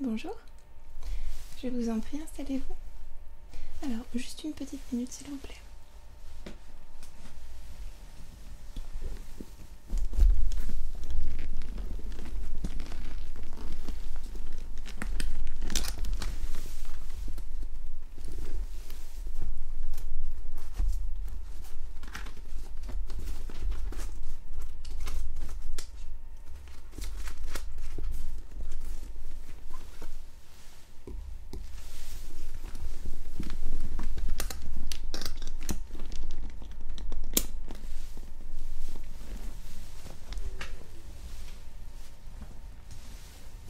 Bonjour, je vous en prie, installez-vous. Alors, juste une petite minute s'il vous plaît.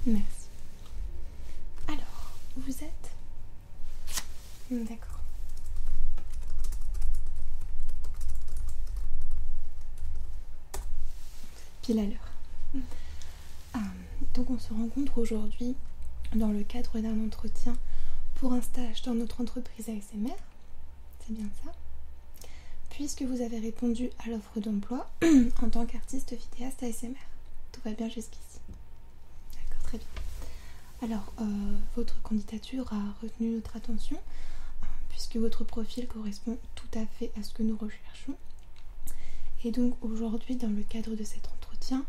Merci. Alors, vous êtes D'accord. Pile à l'heure. Mm. Ah, donc on se rencontre aujourd'hui dans le cadre d'un entretien pour un stage dans notre entreprise ASMR. C'est bien ça Puisque vous avez répondu à l'offre d'emploi en tant qu'artiste vidéaste ASMR. Tout va bien jusqu'ici. D'accord, très bien. Alors, euh, votre candidature a retenu notre attention hein, puisque votre profil correspond tout à fait à ce que nous recherchons. Et donc aujourd'hui, dans le cadre de cet entretien,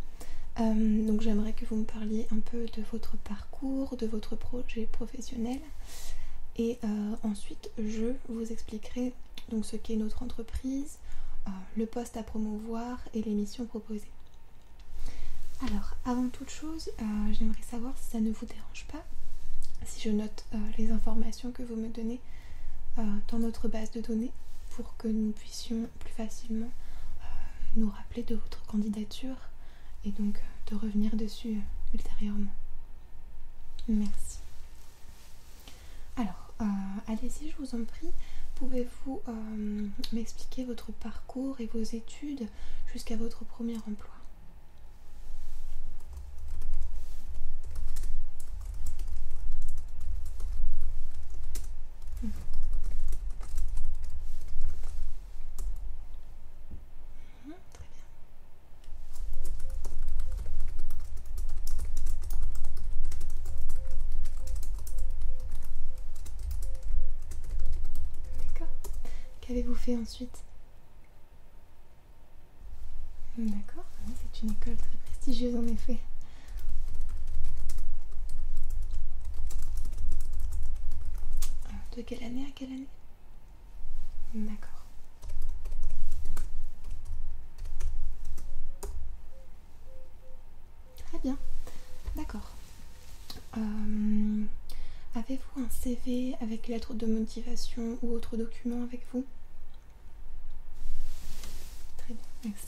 euh, donc j'aimerais que vous me parliez un peu de votre parcours, de votre projet professionnel. Et euh, ensuite, je vous expliquerai donc ce qu'est notre entreprise, le poste à promouvoir et les missions proposées. Alors, avant toute chose, euh, j'aimerais savoir si ça ne vous dérange pas, si je note euh, les informations que vous me donnez euh, dans notre base de données pour que nous puissions plus facilement nous rappeler de votre candidature et donc de revenir dessus ultérieurement. Merci. Alors, allez-y, je vous en prie. Pouvez-vous m'expliquer votre parcours cours et vos études jusqu'à votre premier emploi. Hmm. Hmm, D'accord. Qu'avez-vous fait ensuite D'accord, hein, c'est une école très prestigieuse en effet. De quelle année à quelle année D'accord. Très bien, d'accord. Euh, avez-vous un CV avec lettre de motivation ou autre document avec vous Très bien, merci.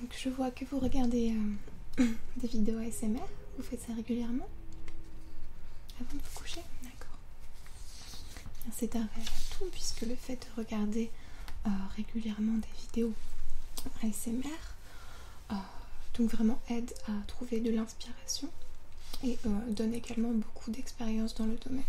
Donc je vois que vous regardez euh, des vidéos ASMR, vous faites ça régulièrement avant de vous coucher, d'accord. C'est un vrai atout puisque le fait de regarder euh, régulièrement des vidéos ASMR euh, donc vraiment aide à trouver de l'inspiration et donne également beaucoup d'expérience dans le domaine.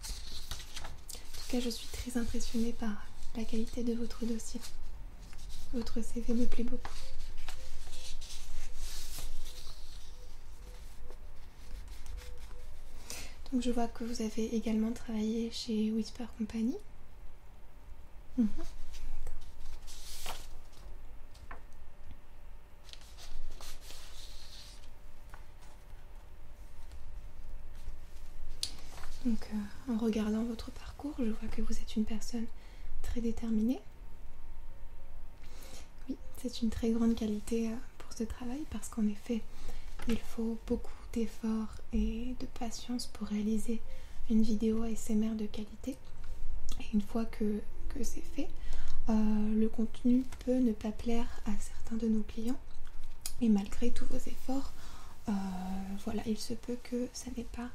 En tout cas, je suis très impressionnée par la qualité de votre dossier. Votre CV me plaît beaucoup. Donc je vois que vous avez également travaillé chez Whisper Company. Mhm. Donc, euh, en regardant votre parcours, je vois que vous êtes une personne très déterminée. Oui, c'est une très grande qualité euh, pour ce travail parce qu'en effet, il faut beaucoup d'efforts et de patience pour réaliser une vidéo ASMR de qualité. Et une fois que, c'est fait, euh, le contenu peut ne pas plaire à certains de nos clients. Et malgré tous vos efforts, euh, voilà, il se peut que ça n'ait pas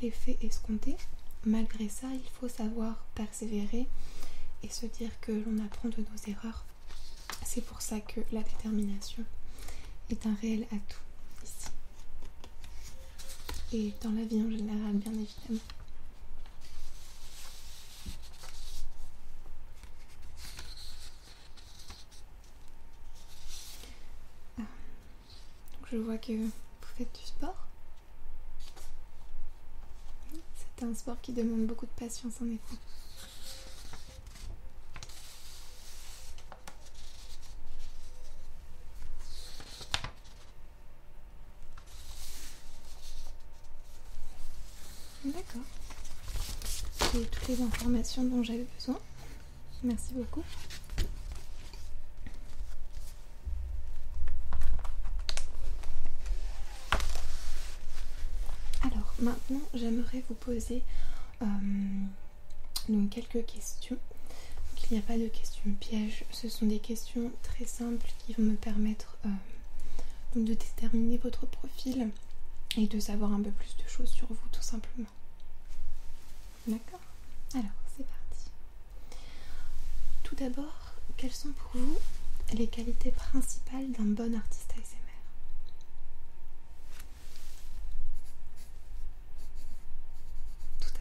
l'effet escompté. Malgré ça, il faut savoir persévérer et se dire que l'on apprend de nos erreurs. C'est pour ça que la détermination est un réel atout ici et dans la vie en général bien évidemment. Ah. je vois que vous faites du sport. C'est un sport qui demande beaucoup de patience en effet. D'accord. J'ai toutes les informations dont j'avais besoin. Merci beaucoup. Alors maintenant, j'aimerais vous poser euh, donc quelques questions. il n'y a pas de questions pièges. Ce sont des questions très simples qui vont me permettre euh, de déterminer votre profil et de savoir un peu plus de choses sur vous tout simplement. D'accord Alors c'est parti. Tout d'abord, quelles sont pour vous les qualités principales d'un bon artiste ASMR Tout fait.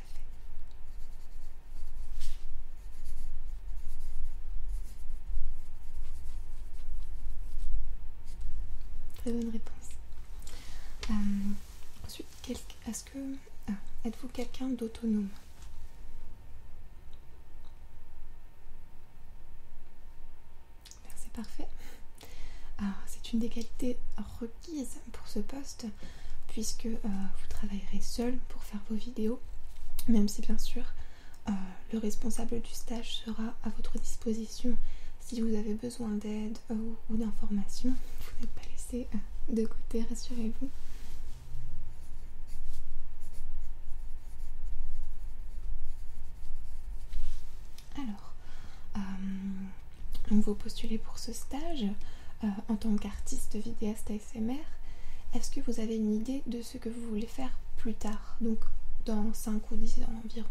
Très bonne réponse. Euh, ensuite, ce que ah, êtes-vous quelqu'un d'autonome C'est parfait. Ah, c'est une des qualités requises pour ce poste puisque euh, vous travaillerez seul pour faire vos vidéos, même si bien sûr euh, le responsable du stage sera à votre disposition si vous avez besoin d'aide euh, ou d'informations. Vous n'êtes pas laissé de côté, rassurez-vous. Alors, vous postulez pour ce stage euh, en tant qu'artiste vidéaste ASMR, est-ce que vous avez une idée de ce que vous voulez faire plus tard, donc dans 5 ou 10 ans environ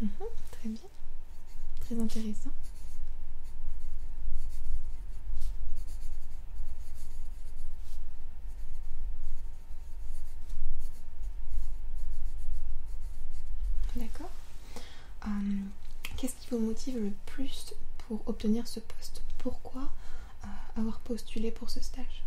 mhm, Très bien, très intéressant. D'accord euh, Qu'est-ce qui vous motive le plus pour obtenir ce poste Pourquoi euh, avoir postulé pour ce stage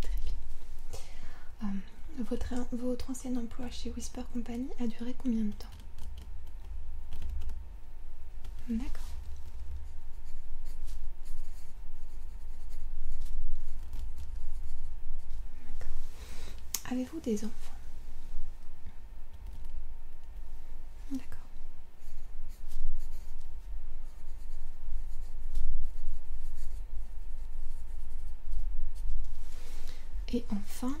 Très bien. Euh, votre, votre ancien emploi chez Whisper Company a duré combien de temps D'accord. D'accord. Avez-vous des enfants D'accord. Et enfin,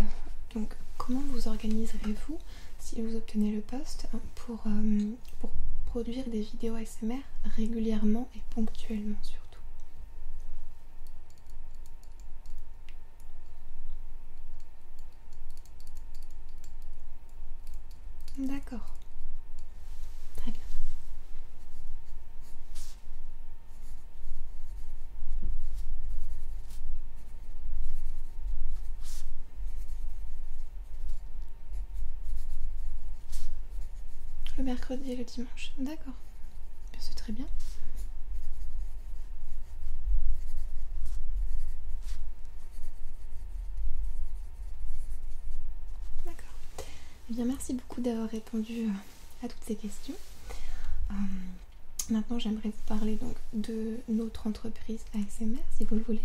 euh, comment vous organiserez-vous si vous obtenez le poste hein, pour, euh, pour produire des vidéos ASMR régulièrement et ponctuellement surtout D'accord. Très Le mercredi et le dimanche. D'accord. Ben, c'est très bien. D'accord. Eh bien, merci beaucoup d'avoir répondu euh, à toutes ces questions. Euh, maintenant, j'aimerais vous parler donc de notre entreprise ASMR, si vous le voulez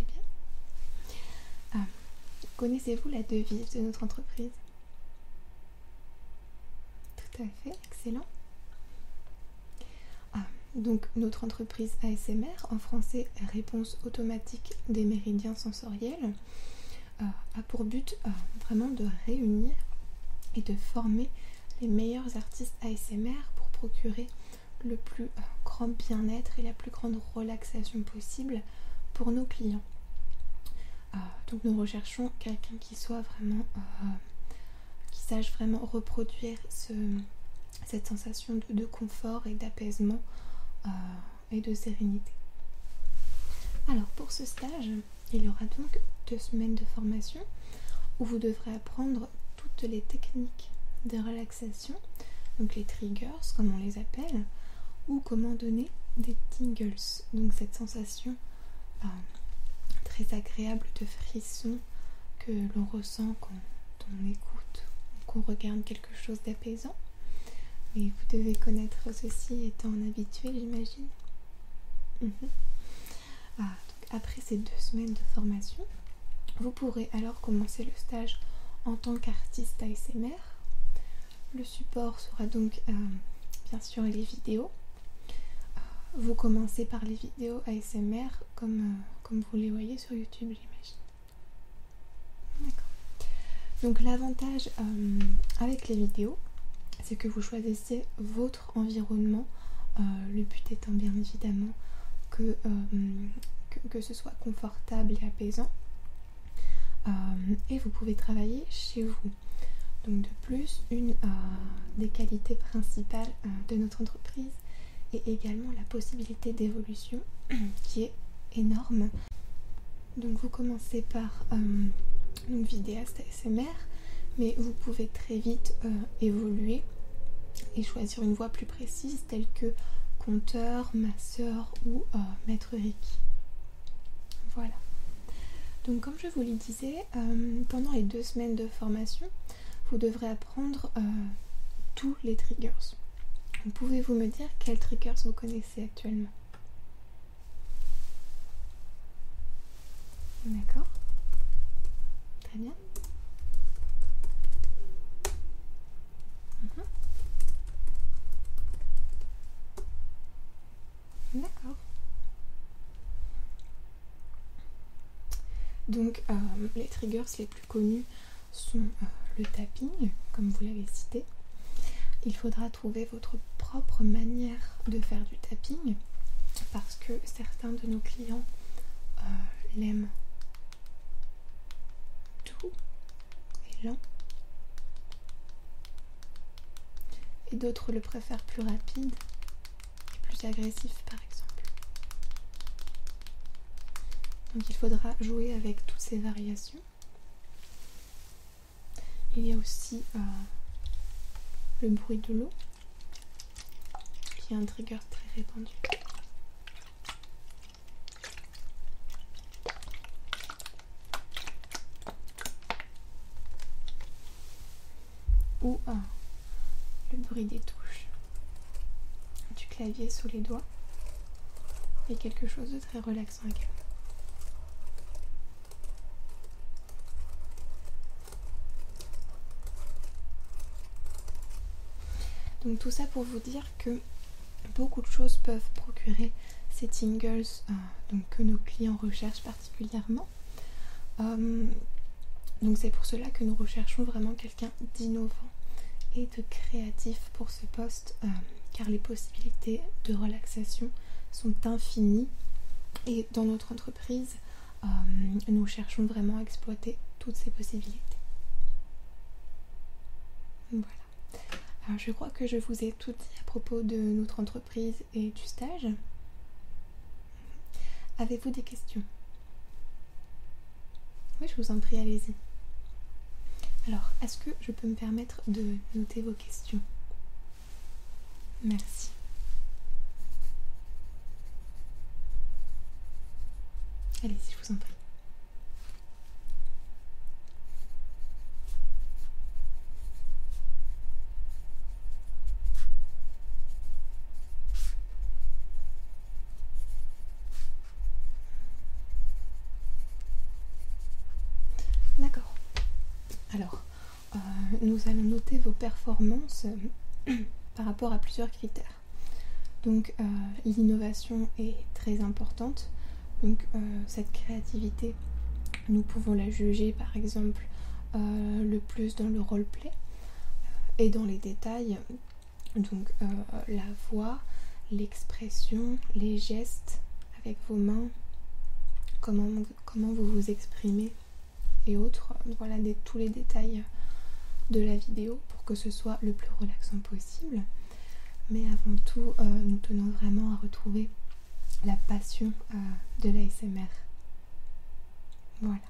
bien. Euh, connaissez-vous la devise de notre entreprise Tout à fait, excellent. Ah, donc notre entreprise ASMR, en français réponse automatique des méridiens sensoriels, euh, a pour but euh, vraiment de réunir et de former les meilleurs artistes ASMR pour procurer le plus euh, grand bien-être et la plus grande relaxation possible pour nos clients. donc nous recherchons quelqu'un qui soit vraiment, qui sache vraiment reproduire ce, cette sensation de, confort et d'apaisement euh, et de sérénité. Alors pour ce stage, il y aura donc deux semaines de formation où vous devrez apprendre toutes les techniques de relaxation, donc les triggers comme on les appelle, ou comment donner des tingles, donc cette sensation euh, très agréable de frisson que l'on ressent quand on écoute ou qu'on regarde quelque chose d'apaisant. Mais vous devez connaître ceci étant habitué, j'imagine. Mhm. Ah, après ces deux semaines de formation, vous pourrez alors commencer le stage en tant qu'artiste ASMR. Le support sera donc euh, bien sûr les vidéos. Ah, vous commencez par les vidéos ASMR comme, euh, comme vous les voyez sur YouTube, j'imagine. Donc l'avantage euh, avec les vidéos, c'est que vous choisissez votre environnement. Euh, le but étant bien évidemment que, que, ce soit confortable et apaisant. et vous pouvez travailler chez vous. Donc de plus, une des qualités principales de notre entreprise, et également la possibilité d'évolution qui est énorme. Donc vous commencez par donc euh, vidéaste ASMR, mais vous pouvez très vite euh, évoluer et choisir une voie plus précise telle que conteur, masseur ou euh, maître Reiki. Voilà. Donc comme je vous le disais, pendant les deux semaines de formation, vous devrez apprendre euh, tous les triggers. Pouvez-vous me dire quels triggers vous connaissez actuellement D'accord Très bien. Mhm. D'accord. Donc euh, les triggers les plus connus sont euh, le tapping, comme vous l'avez cité. Il faudra trouver votre propre manière de faire du tapping parce que certains de nos clients euh, l'aiment doux et lent et d'autres le préfèrent plus rapide plus agressif par exemple. Donc il faudra jouer avec toutes ces variations. Il y a aussi euh, le bruit de l'eau qui est un trigger très répandu ou le bruit des touches du clavier sous les doigts et quelque chose de très relaxant également. Donc tout ça pour vous dire que beaucoup de choses peuvent procurer ces tingles euh, que nos clients recherchent particulièrement. Euh, donc c'est pour cela que nous recherchons vraiment quelqu'un d'innovant et de créatif pour ce poste, euh, car les possibilités de relaxation sont infinies. Et dans notre entreprise, euh, nous cherchons vraiment à exploiter toutes ces possibilités. Voilà. Alors je crois que je vous ai tout dit à propos de notre entreprise, et du stage. Avez-vous des questions Oui, je vous en prie, allez-y. Alors, est-ce que je peux me permettre de noter vos questions Merci. Allez-y, je vous en prie. D'accord. Alors, euh, nous allons noter vos performances par rapport à plusieurs critères. Donc, euh, l'innovation est très importante. Donc, euh, cette créativité nous pouvons la juger par exemple euh, le plus dans le roleplay euh, et dans les détails, donc euh, la voix, l'expression, les gestes avec vos mains, comment, vous vous exprimez et autres. Voilà tous les détails de la vidéo pour que ce soit le plus relaxant possible. Mais avant tout, nous tenons vraiment à retrouver la passion euh, de l'ASMR. Voilà.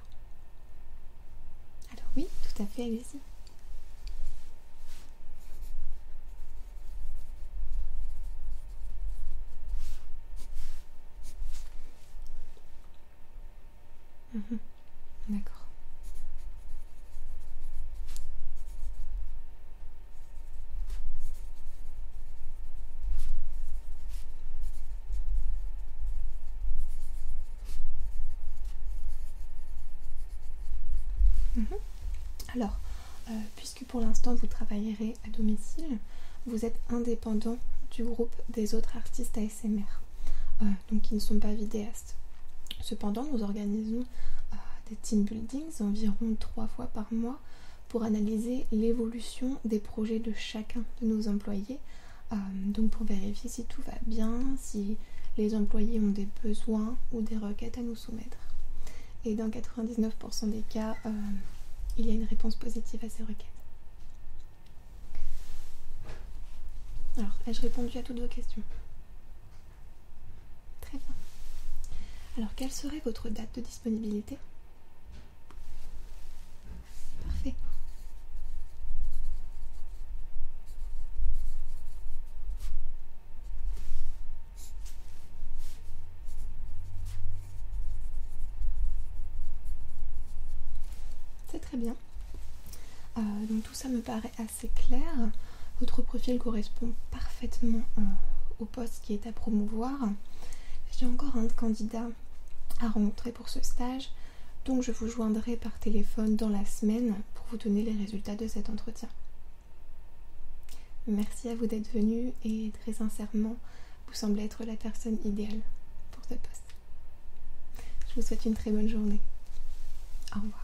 Alors oui, tout à fait, allez-y. Mhm. D'accord. Mhm. Alors, euh, puisque pour l'instant vous travaillerez à domicile, vous êtes indépendant du groupe des autres artistes ASMR, euh, donc qui ne sont pas vidéastes. Cependant, nous organisons euh, des team buildings environ trois fois par mois pour analyser l'évolution des projets de chacun de nos employés, euh, donc pour vérifier si tout va bien, si les employés ont des besoins ou des requêtes à nous soumettre. Et dans 99% des cas, euh, il y a une réponse positive à ces requêtes. Alors, ai-je répondu à toutes vos questions Très bien. Alors, quelle serait votre date de disponibilité c'est très bien. Euh, donc tout ça me paraît assez clair. Votre profil correspond parfaitement au euh, poste qui est à promouvoir. J'ai encore un candidat à rencontrer pour ce stage, donc je vous joindrai par téléphone dans la semaine pour vous donner les résultats de cet entretien. Merci à vous d'être venu et très sincèrement, vous semblez être la personne idéale pour ce poste. Je vous souhaite une très bonne journée. Au revoir.